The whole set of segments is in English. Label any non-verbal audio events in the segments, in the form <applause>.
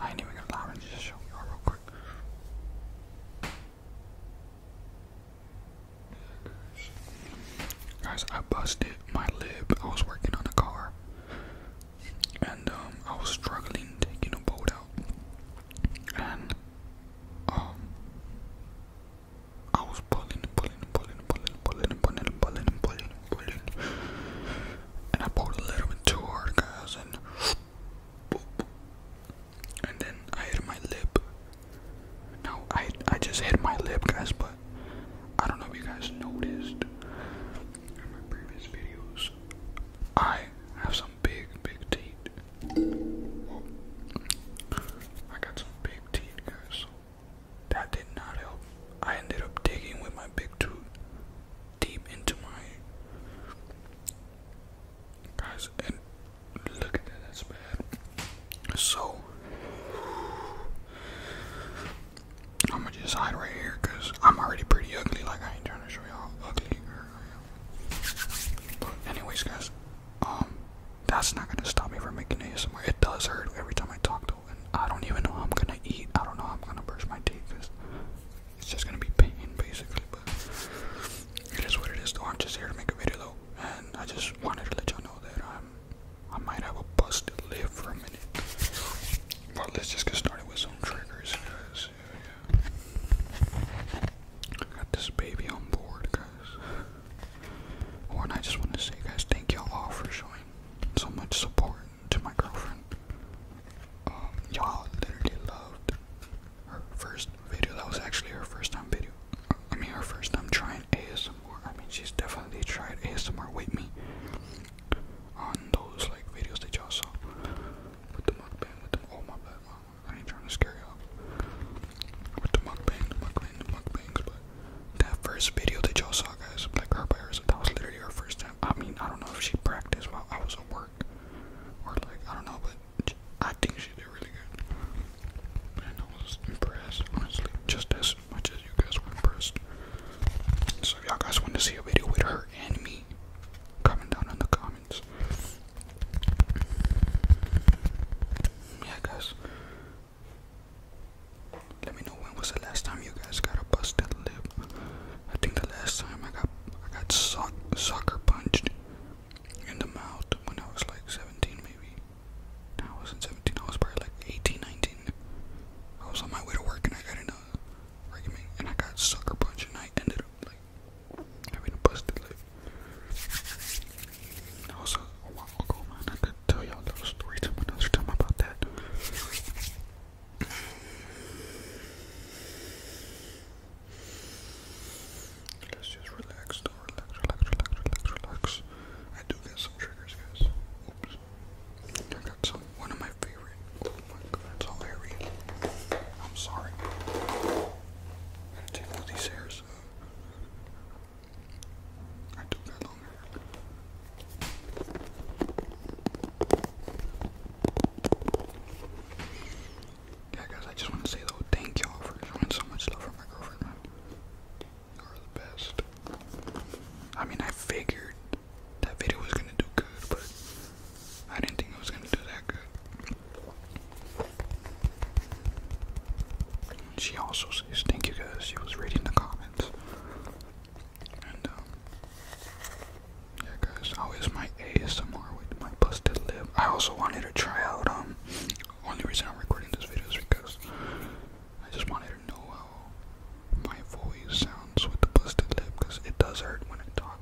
I Guys, I busted my lip. I was working on a car, and um, I was struggling taking a boat out, and um, I was pulling pulling pulling pulling pulling pulling pulling pulling pulling, and I pulled a little bit too hard, guys, and and then I hit my lip. Now I I just hit my lip, guys, but I don't know if you guys noticed in my previous videos. I have some big, big teeth. I got some big teeth, guys. That did not help. I ended up digging with my big tooth deep into my guys and look at that that's bad so I'm gonna just hide right here because I'm already pretty ugly like I ain't trying to show y'all ugly I am. anyways guys um that's not gonna stop me from making ASMR it does hurt every time I talk to and I don't even know how I'm gonna eat I don't know how I'm gonna brush my teeth it's just gonna be pain basically, but it is what it is though. I'm just here to make a video though, and I just wanted to let y'all know that I'm I might have a busted lip for a minute. But let's just get started with some triggers, guys. Yeah, I got this baby on board, guys. and I just want to say, guys, thank y'all all for showing so much support to my girlfriend. Um, y'all literally loved her first video. That was actually her first time video. I mean, her first time trying ASMR. I mean, she's definitely tried ASMR with me on those like videos that y'all saw with the mukbang, with the oh my bad, mom. I ain't trying to scare you with the mukbang, the mukbang, the mukbangs. But that first video that y'all saw, guys, like her by herself, that was literally her first time. I mean, I don't know if she practiced while I was at work, or like I don't know, but I think she did really good. I was impressed, honestly, just as much as you guys were impressed. So y'all guys want to see a video with her and me, comment down in the comments. Yeah, guys. Let me know when was the last time you guys got a busted lip. I think the last time I got I got sock, soccer punched in the mouth when I was like 17 maybe. I wasn't 17. I was probably like 18, 19. I was on my way to work and I got in a argument and I got sucker punched and I ended up like having a busted lip. That a, while ago, man. I could tell y'all little story another time about that. Let's just relax, Relax, relax, relax, relax, relax. I do get some triggers, guys. Oops. I got some. One of my favorite. Oh my god, it's all hairy. I'm sorry. take all these hairs. Uh, I do got yeah, guys, I just want to say though, thank y'all for showing so much love for my girlfriend, man. You are the best. I mean, I figured that video was gonna do good, but I didn't think I was gonna do that good. She also says, thank you guys, she was reading the comments. Um, yeah, guys, how is my ASMR with my busted lip? I also wanted to try out. Um, only reason I'm recording this video is because I just wanted to know how my voice sounds with the busted lip, because it does hurt when I talk.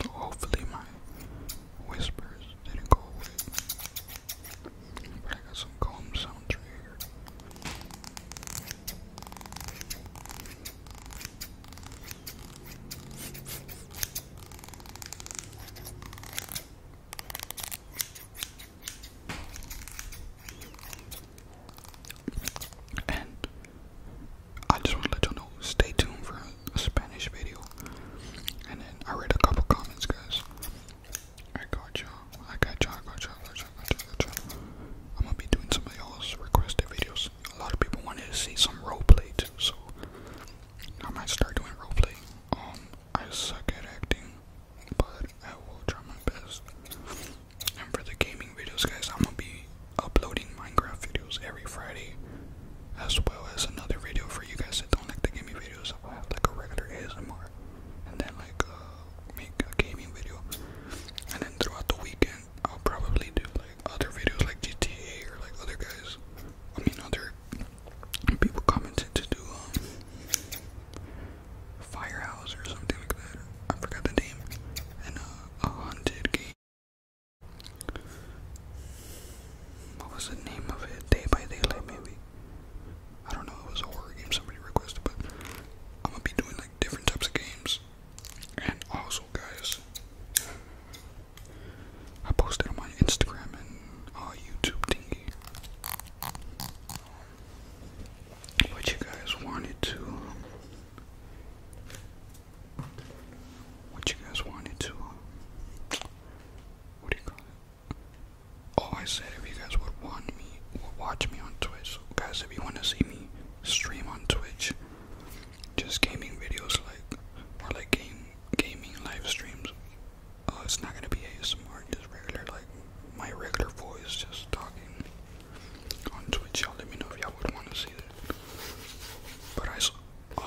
So hopefully my whispers didn't go away. But I got some calm sounds here. And I just want to let y'all know, stay tuned for a Spanish video. And then I read a couple comments, guys. I got y'all. I got y'all. I got y'all. I got y'all. I got y'all. I'm gonna be doing some of y'all's requested videos. A lot of people wanted to see some roleplay too, so I might start doing roleplay. Um, I suck at acting, but I will try my best. And for the gaming videos, guys, I'm gonna be uploading Minecraft videos every Friday, as well as another video for you guys that don't like the gaming videos. I'll have like a regular ASMR, and then like uh, make a gaming video, and then throughout the weekend I'll probably do like other videos like GTA or like other guys. I mean other people commented to do um, firehouse or something like that. I forgot the name. And uh, a haunted game what was the name of it? Day by Daylight, maybe. I don't know. It was a horror game somebody requested, but I'm gonna be doing like different types of games. And also, guys, I posted on my Instagram and uh, YouTube thingy. But you guys wanted to what you guys wanted to, um, what do you call it? Oh, I said if you guys would want me, watch me on Twitch. guys, if you want to see me stream on Twitch, just gaming videos like, or like game, gaming live streams. Uh, it's not gonna be ASMR, just regular, like my regular voice, just talking on Twitch. Y'all let me know if y'all would want to see that. But I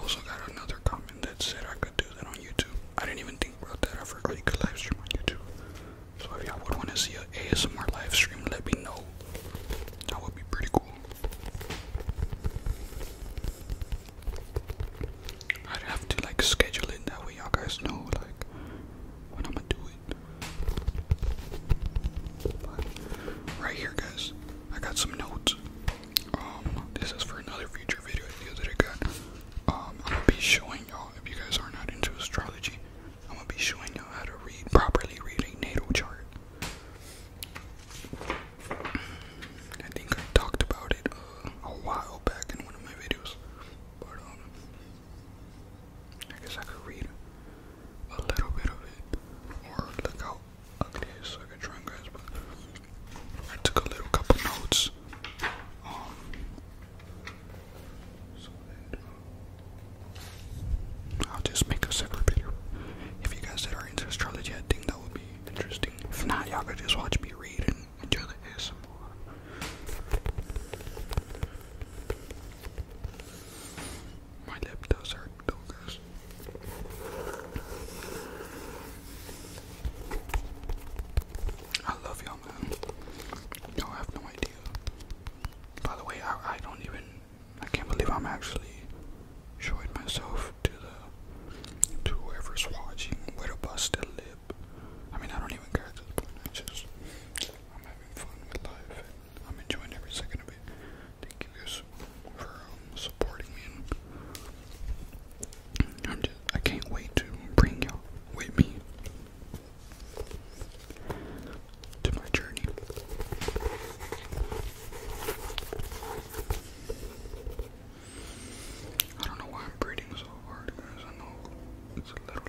also got another comment that said I could do that on YouTube. I didn't even think about that. I forgot you could live stream on YouTube. So if y'all would want to see an ASMR live stream, let me know. That would be pretty cool. I'd have to like schedule it that way y'all guys know like when I'ma do it right here, guys, I got some notes. Um, this is for another future video idea that I got. Um, I'm gonna be showing y'all if you guys are not into astrology. I'm gonna be showing y'all how to read properly read a natal chart. I think I talked about it uh, a while back in one of my videos, but um, I guess I could read a little bit of it, or look how ugly it is, like a drawing guys, but I took a little couple notes, um, uh, I'll just make a separate video. If you guys that are into astrology, I think that would be interesting. If not, y'all could just watch me read and enjoy the ASMR. My lip does hurt though, I love you man. Y'all have no idea. By the way, I, I don't even. I can't believe I'm actually showing myself to the. to whoever's watching with a lip. I mean, I don't even care just. I'm having fun with life. I'm enjoying every second of it. Thank you guys for um, supporting me. I'm just, I can't wait to bring y'all with me to my journey. I don't know why I'm breathing so hard, guys. I know it's a little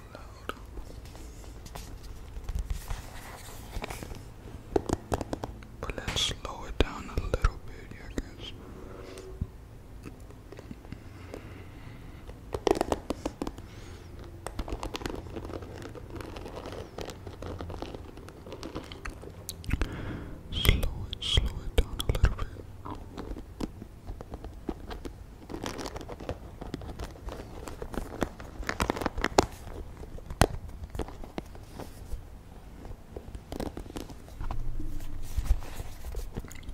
but let's slow it down a little bit, I guess. Slow it, slow it down a little bit.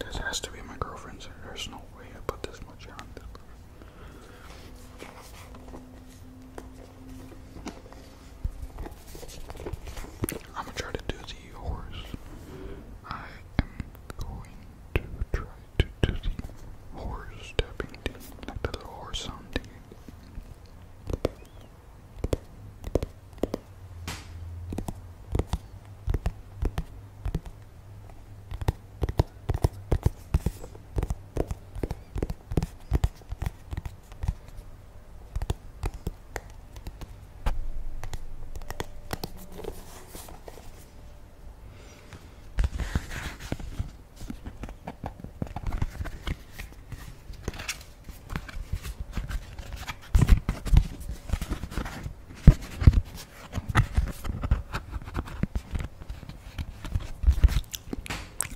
This has to be my girlfriend's. There's no way I put this much on this. I'm gonna try to do the horse. I am going to try to do the horse stepping thing, like the little horse sound thing.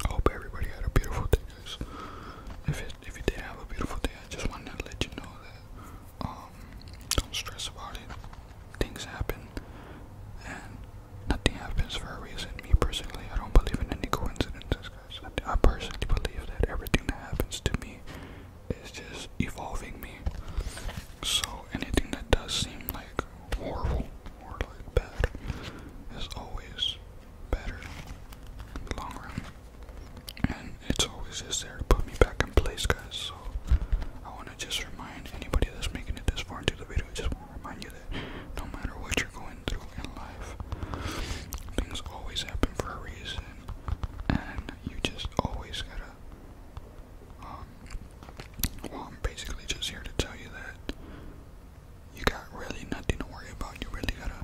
I hope everybody had a beautiful day, If if you did have a beautiful day, I just wanted to let you know that um, don't stress about it things happen and nothing happens for a reason. Me personally, I don't believe in any coincidences, I personally believe that everything that happens to me is just evolving me. So anything that does seem like horrible or like bad is always better in the long run. And it's always just there to put me back place, guys. So I want to just remind anybody that's making it this far into the video, just want to remind you that no matter what you're going through in life, things always happen for a reason, and you just always gotta. Um, well, I'm basically just here to tell you that you got really nothing to worry about. You really gotta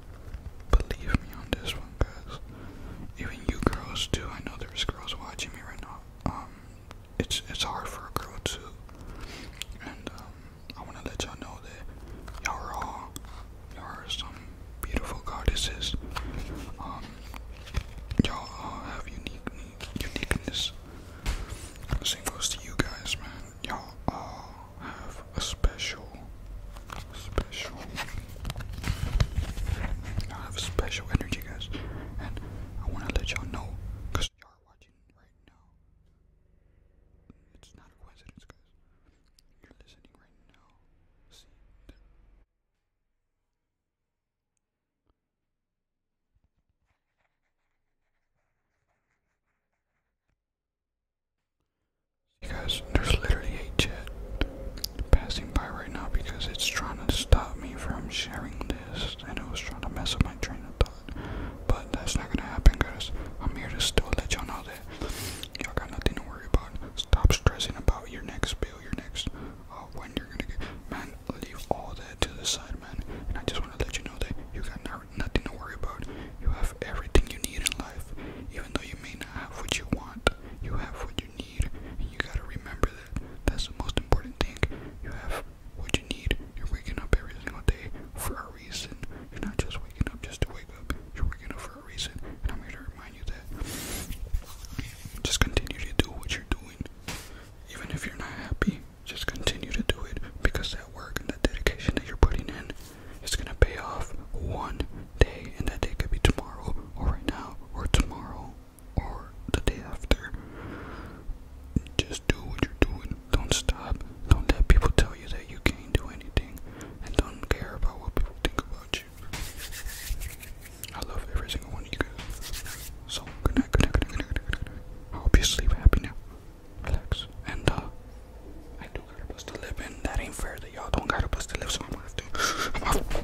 believe me on this one, guys. Even you girls too. I know there's girls watching me right now. Um, it's it's hard for a girl too. And um, I want to let y'all know that y'all are all y'all are some beautiful goddesses. Um, y'all all have unique uniqueness. Same goes to you guys, man. Y'all all have a special, special. I have special energy, guys, and I want to let y'all know, because y'all are watching right now. It's not a coincidence, guys. You're listening right now. See guys, there's literally a chat passing by right now because it's trying to stop me from sharing this and it was trying to mess up my train of thought. But that's not gonna happen guys. I'm here to still let y'all know that y'all got nothing to worry about. Stop stressing about your next bill, your next uh, when you're gonna get man, leave all that to the side man. And I just wanna let you know that you got nothing to worry about. You have everything you need in life. Even though you may not have what you want, you have what you need need, and you gotta remember that. That's the most important thing. You have what you need. You're waking up every single day for a reason. You're not just waking up just to wake up. You're waking up for a reason, and I'm here to remind you that. Just continue to do what you're doing, even if you're not happy. Just continue to do it because that work and that dedication that you're putting in is gonna pay off one day, and that day could be tomorrow, or right now, or tomorrow or the day after. Just do what you're doing. Don't stop. Don't let people tell you that you can't do anything. And don't care about what people think about you. I love every single one of you guys. So, good night, good night, good night, good night, good night. I hope you sleep happy now. Relax. And, uh, I do gotta bust a lip, that ain't fair that y'all don't gotta bust a lip, so I'm gonna have to. <laughs>